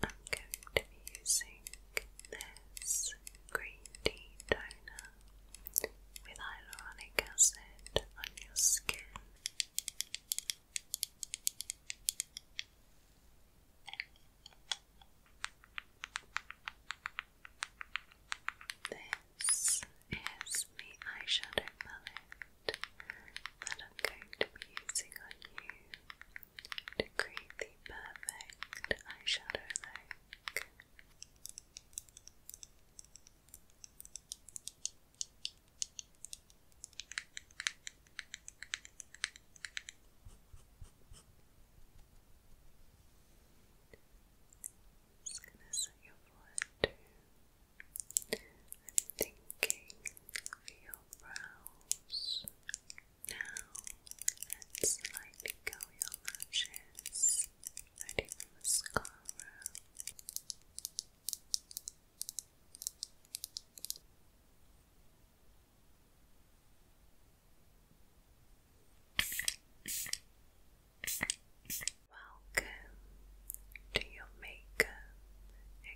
I'm going to be using this green tea toner with hyaluronic acid on your skin. This is the eyeshadow palette that I'm going to be using on you to create the perfect eyeshadow look. I'm thinking for your brows. Now, let's slightly go your lashes, ready for mascara. Welcome to your makeup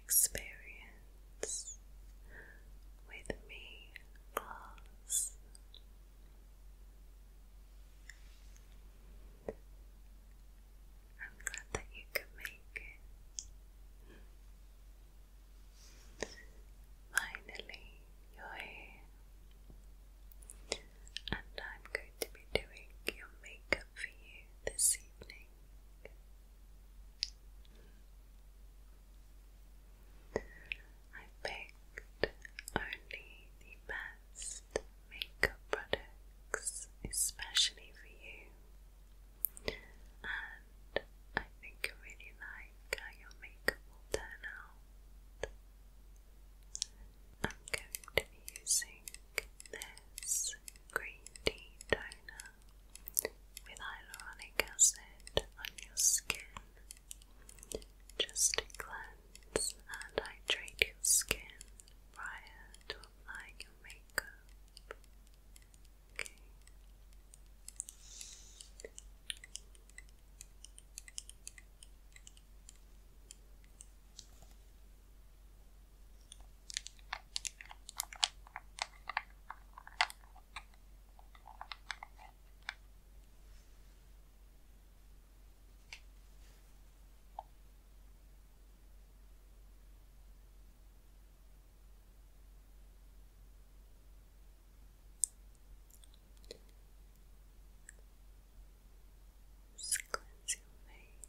experience hands with me close. I'm glad that you could make it. Finally, you're here, and I'm going to be doing your makeup for you this evening. I picked only the best makeup products, especially for you, and I think I really like your makeup will turn I'm going to be using this green toner with hyaluronic acid on your skin just to cleanse and hydrate your skin prior to applying your makeup. Just cleanse your face.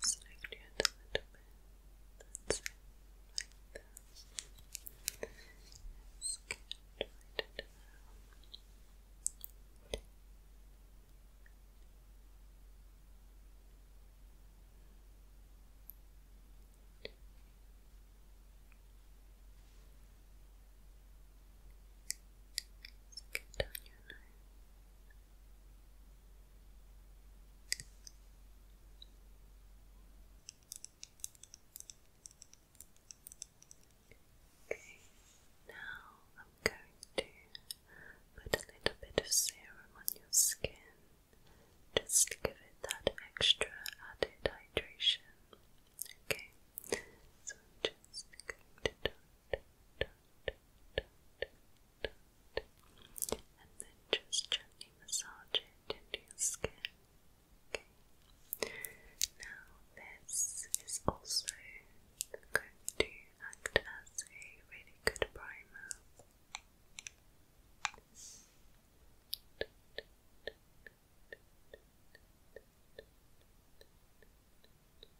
Select your hand a little bit. That's it. Like that. Scan right down. Get down your nose. Okay, now I'm going to put a little bit of serum on your skin just give it that extra added hydration. Okay, so I'm just going to dot, dot, dot, dot, and then just gently massage it into your skin. Now this is also going to act as a really good primer.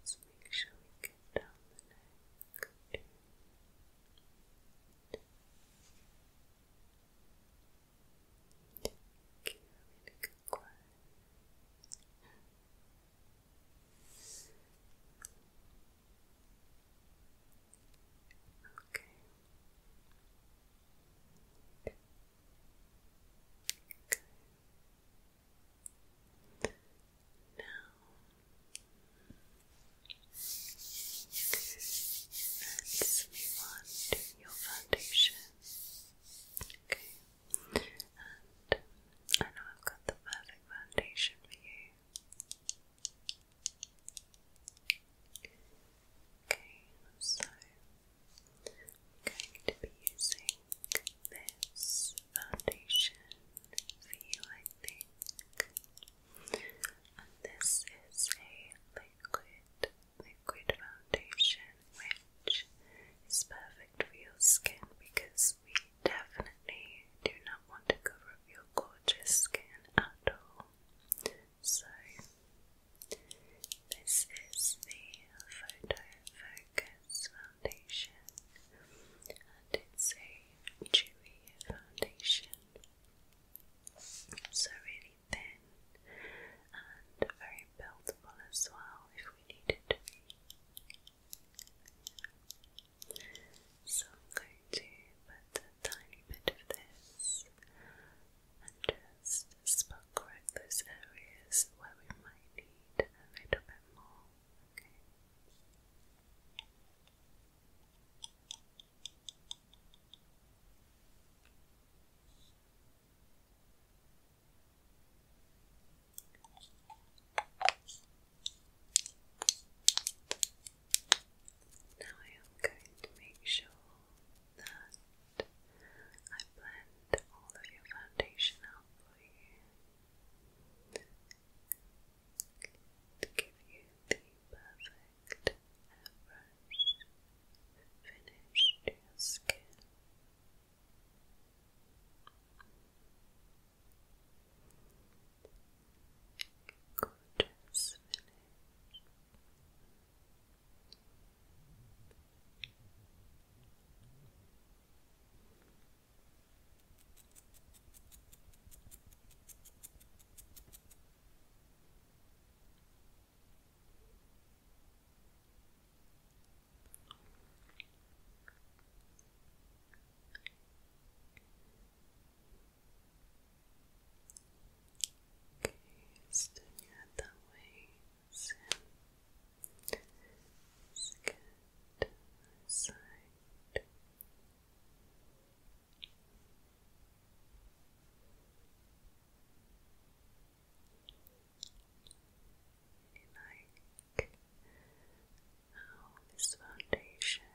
Let's make sure we get down the neck. Good. Thank you. Now, let's move your foundation. Okay. I know I've got the perfect foundation for you. Okay, so I'm going to be using this foundation for you, I And this is a liquid, liquid foundation which is perfect for your skin because we definitely do not want to cover up your gorgeous skin at all. So, this is the Photo Focus Foundation, and it's a dewy foundation. So, really thin and very buildable as well we need it So I'm going to put a tiny bit of this and just spot correct those areas where we might need a little bit more. Okay, now I am going to make sure that I blend all of your foundation out for you to give you the perfect airbrush finish skin. Gorgeous finish. Okay, just doing it that side really like how oh, this foundation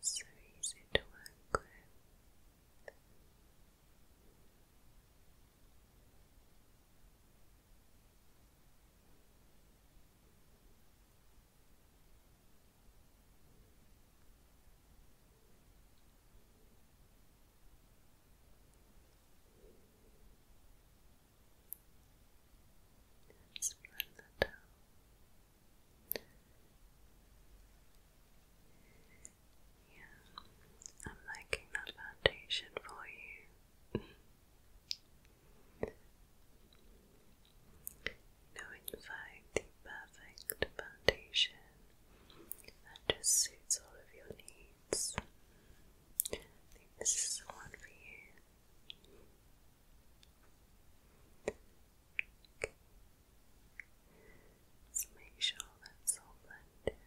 is so easy to work with. Just blend that out. Yeah, I'm liking that foundation for you. you in fact, the perfect foundation that just suits all of your needs lights. I think this is the one for you. Let's make sure that's all blended.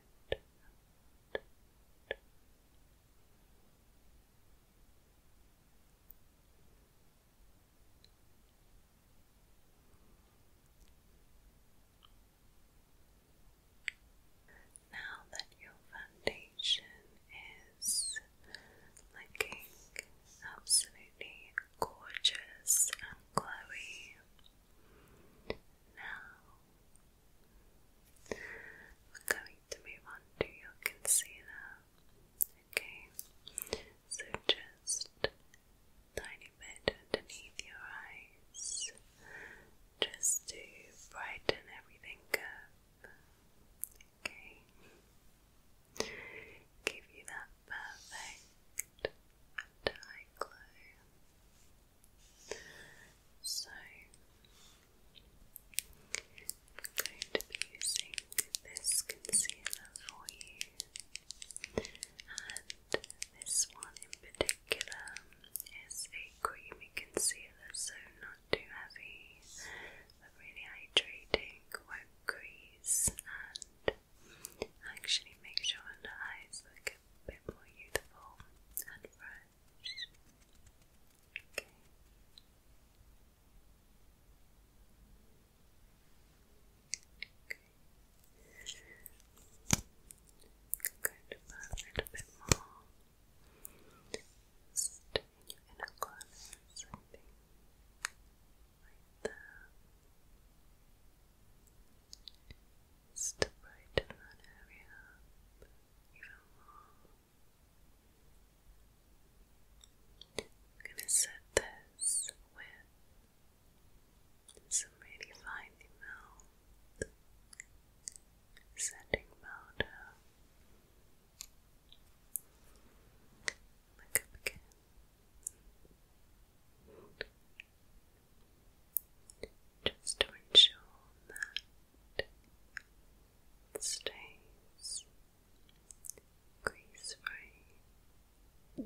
Now that your foundation is looking absolutely gorgeous and glowy, now we're going to move on to your concealer. Okay, so just tiny bit underneath your eyes just to brighten everything up. Okay. Give you that perfect eye glow. So I'm going to be using this concealer for you, and this one in particular is a a creamy concealer, so not too heavy, really hydrating, won't crease, and actually makes your under eyes look a bit more youthful and fresh. Okay. Okay. a little bit more just in your inner corners, I think. Right there. that area even more. I'm gonna set this with some really finely milled setting powder. Look up again. Just to ensure that it stays grease free.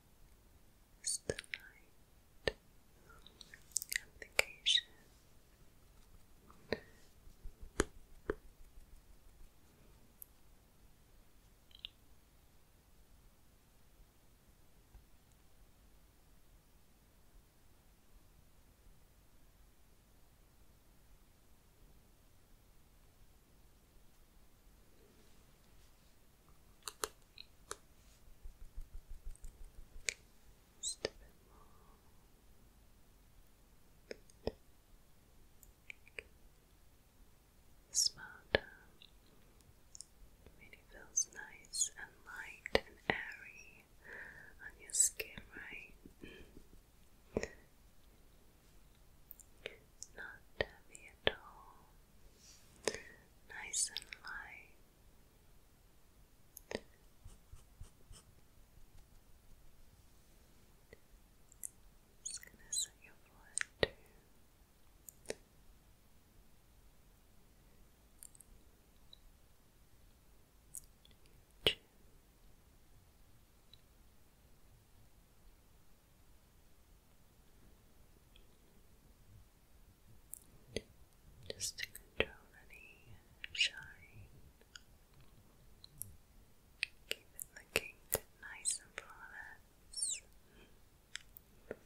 is the right application. Just a bit Really feels nice and light and airy on your skin, right? Mm. Not heavy at all nice and light. Just gonna set your forehead just to control any shine. Keep it looking nice and flawless. Okay.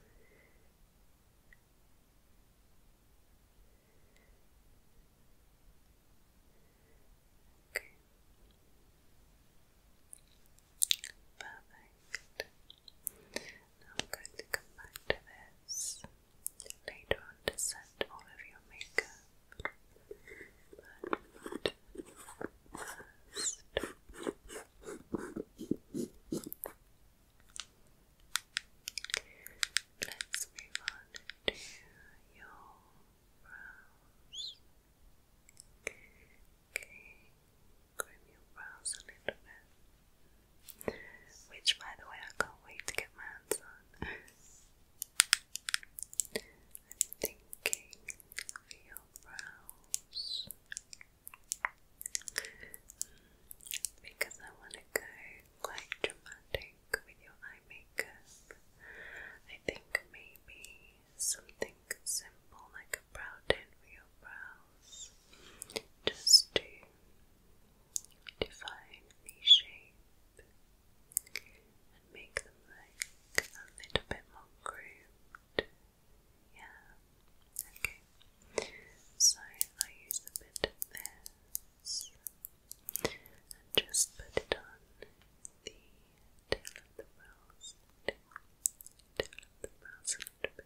Perfect perfect. Now I'm going to come back to this later on to set all of your makeup. But first, let's move on to your brows. Okay, comb your brows a little bit. Which, by the way, I can't wait to get my hands on. I'm thinking for your brows because I want to go quite dramatic with your eye makeup. I think maybe something simple like a brow tint for your brows just to define the shape and make them look a little bit more grooved. Yeah, okay. So I use a bit of this and just put it on the tail of the brows, tail of the brows a little bit more.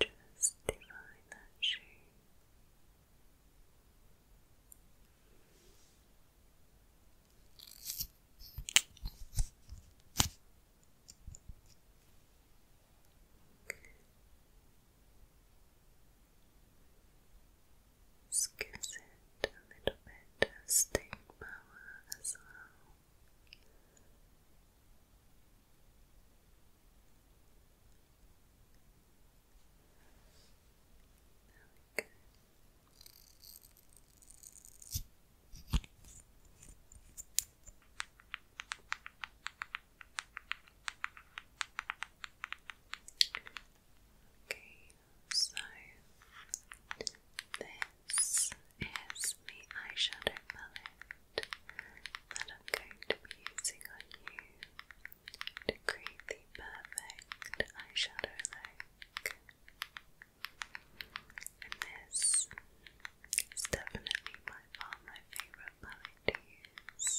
just define that shape. This it a little bit of power as well. There Okay, so this is the eyeshadow palette that I'm going to be using on you to create the perfect eyeshadow look. And this is definitely by far my favorite palette to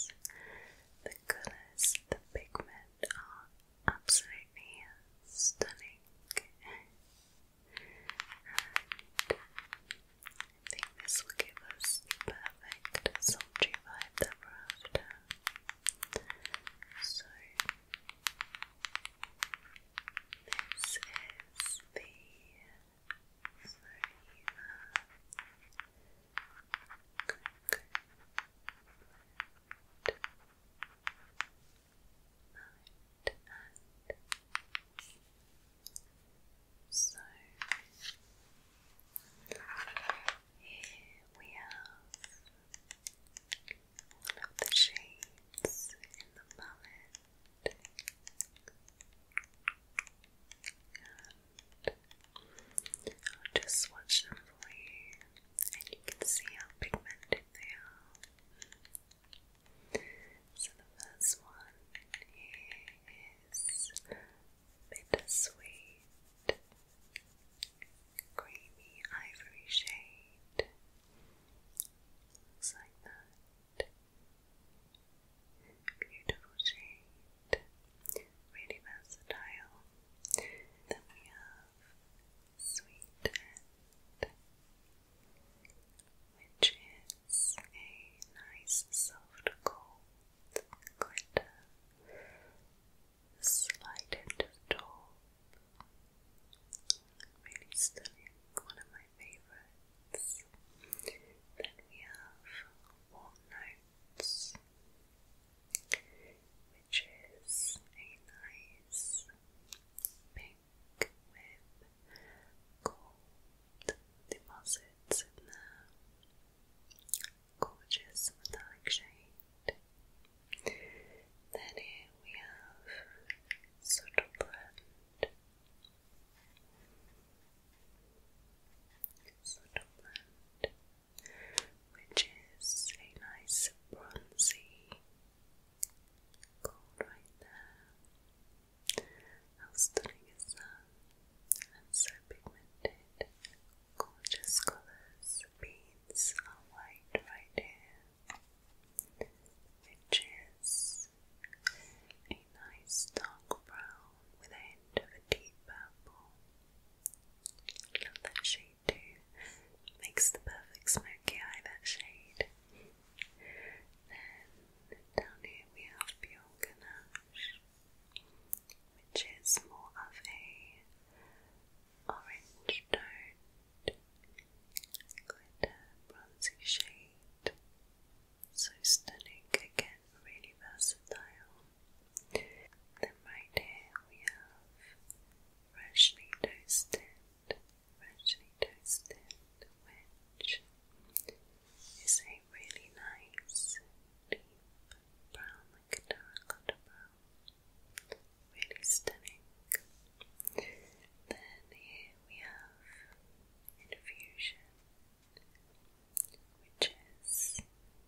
The colours, the pigment are absolutely stunning. I think this will give us the perfect sultry vibe that we're after. So, this is the Floriva Night and so, here we have all of the shades in the palette. And I'll just swatch them for you, and you can see how pigmented they are. So the first one here is bittersweet, creamy ivory shade. Looks like that. Beautiful shade, really versatile. Then we have Sweet which is a nice soft gold going to slide into the top. Really stunning, one of my favourites. Then we have Warm Notes, which is a nice pink with gold deposits in there. Gorgeous metallic shade. Then we have Subtle Blend. Subtle Blend, which is a nice bronzy gold right there. How stunning is that? and so pigmented. Gorgeous colours, beads are white right here, which is a nice dark brown with a hint of a deep purple. Love that shade too. Makes the perfect smoky eye, that shade. Then down here we have Bianca Nash which is more of a orange toned glitter bronzy shade. So stunning again, really versatile. Then right here we have freshly toasted, freshly toasted, which is really nice deep brown, like a terracotta brown. Really stunning. Then here we have Infusion, which is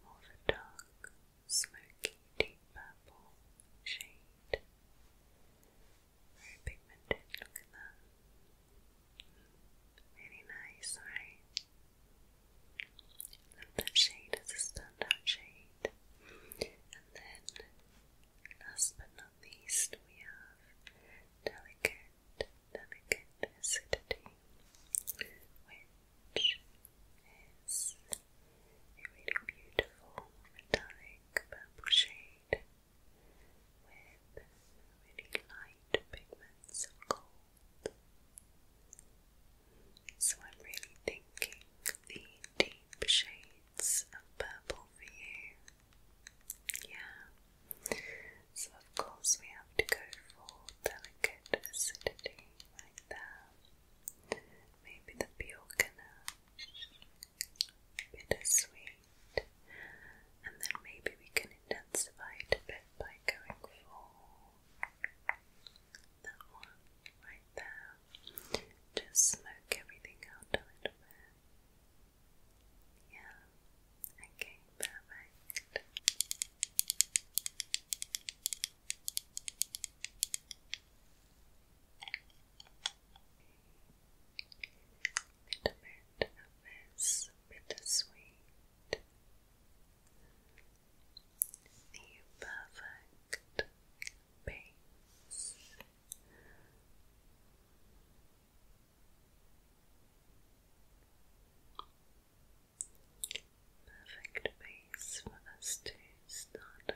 more of a dark, smoky, deep purple shade. Very pigmented, look at that. Really nice, right? Love that shade as a standout shade. And then, last but not least, we have Delicate, Delicate Acidity, which is a really beautiful metallic purple shade with really light pigments so I'm really thinking the deep shades of purple for you. Yeah. So of course we have to go for delicate acidity right there. Maybe the Bjorkanash, bittersweet, and then maybe we can intensify it a bit it by going for that one right there. Just smoke everything out a little bit. Yeah. Okay, perfect. A little bit of this bittersweet the perfect base. Perfect base for us to start with.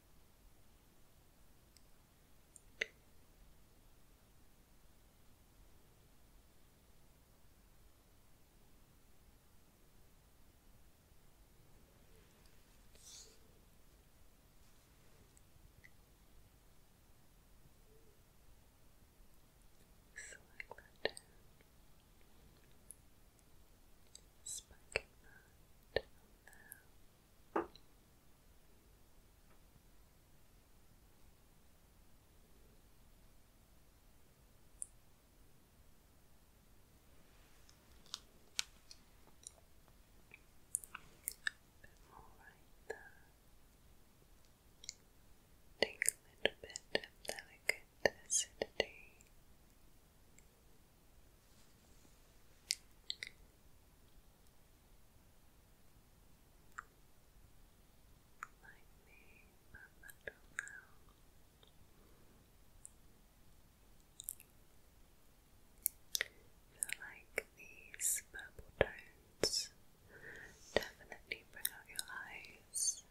Select that Spiking that more right there. Take a little bit delicate acidity. Lightning, but I don't know. feel like these purple tones definitely bring out your eyes.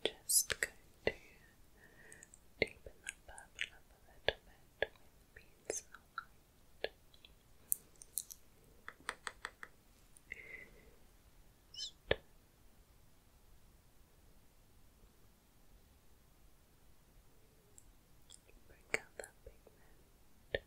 Okay. Just going to deepen that purple up a little bit with beads just break out that pigment.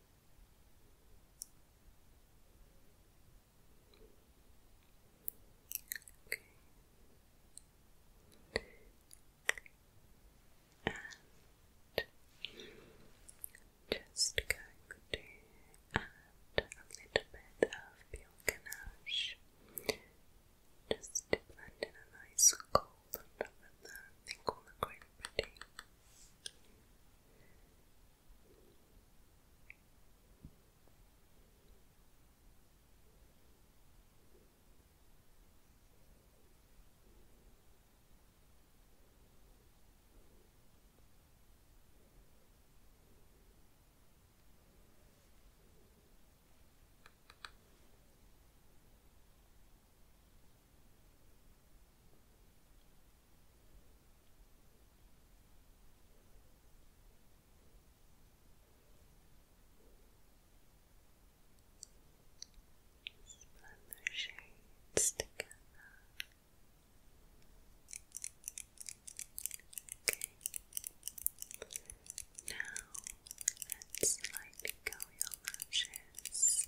Okay. And just going to add a little bit of peel ganache just blend in a nice color gold on that. I think will look quite just blend those shades together. Okay. Now let's slightly go your lashes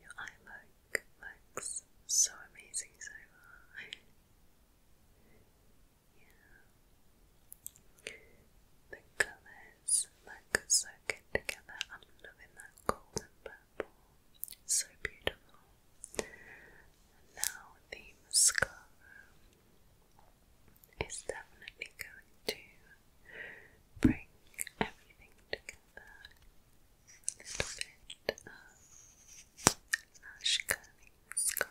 Your eye look looks so amazing so far. yeah. The colour this look so good together. I'm loving that golden purple. So beautiful. now the mascara is definitely going to bring everything together. A little bit of lash curling mascara.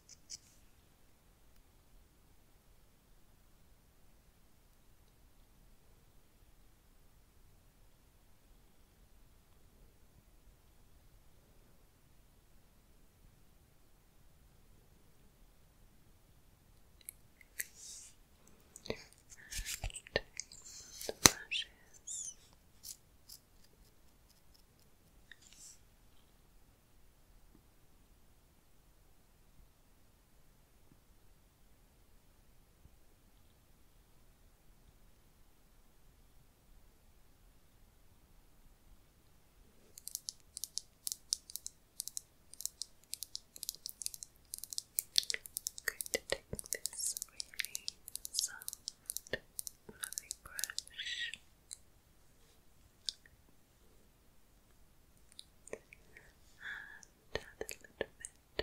the brushes. I'm going to take this really soft, lovely brush and add a little bit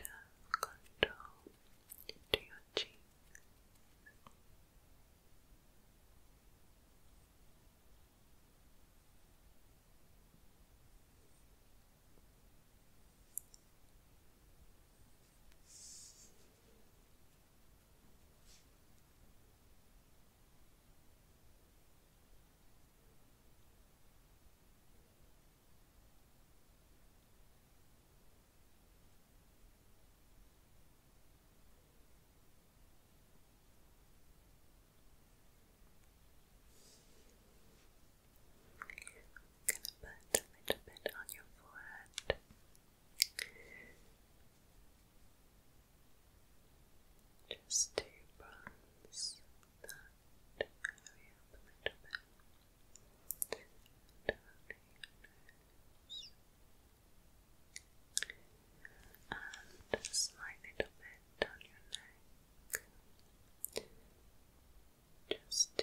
of contour to your cheeks. I'm going to put a little bit on your forehead. Just to bronze a little And and little bit on your neck just to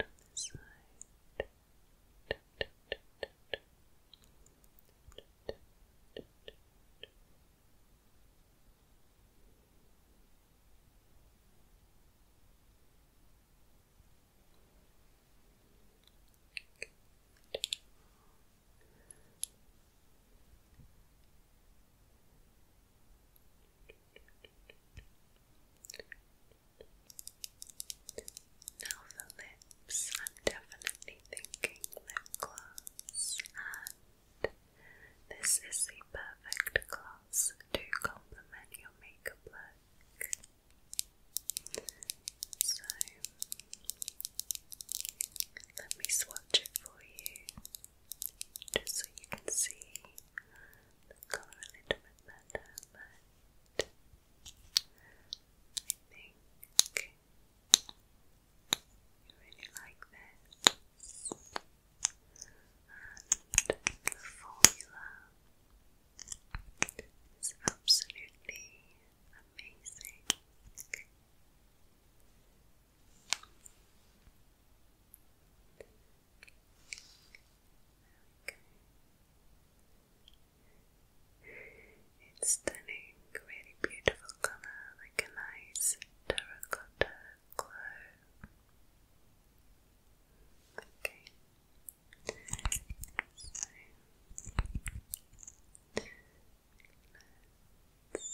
On this side. Good. Now the lips, I'm definitely thinking lip gloss this is the perfect gloss to complement your makeup look. So, let me swatch it for you just so you can see the colour a little bit better. you really like this. And the formula is absolutely amazing. It's stunning, really beautiful colour, like a nice terracotta glow. Okay. So let's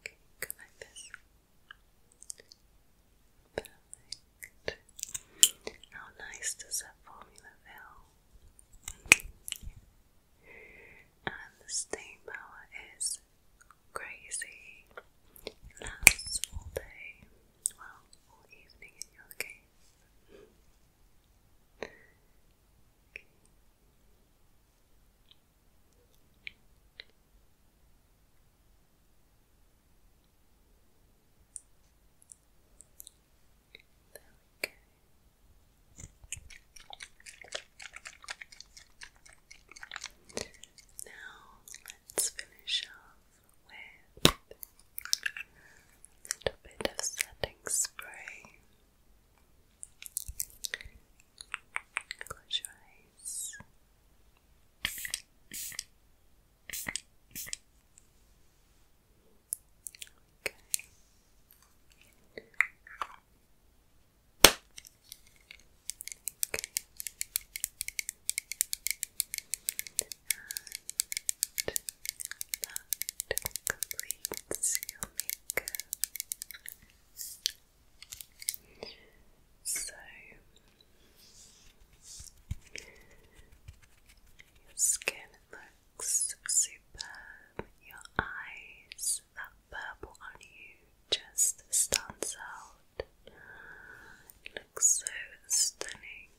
Okay, go like this. Perfect. How nice does that formula feel? And the staying power is crazy. lasts all day. Well, all evening in your case. There we Now let's finish off with a little bit of setting spray. Close your eyes. Okay. Okay. that completes your makeup. So your skin looks superb, your eyes, that purple on you just stands out. looks so stunning,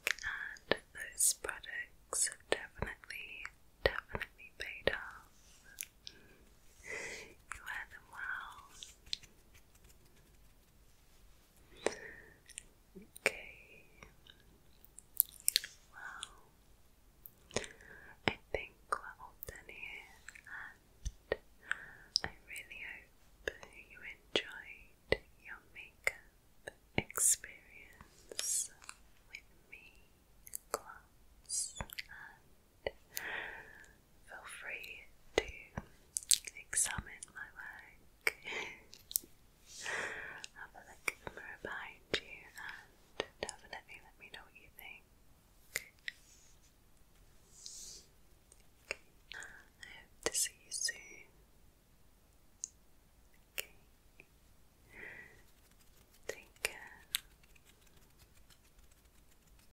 and those products have definitely, definitely paid off. You wear them well, Okay. Well, I think we're all done here, and I really hope you enjoyed your makeup experience with me, class, feel free to examine my work. have a look behind you and definitely let me know what you think. I hope to see you soon. Take care.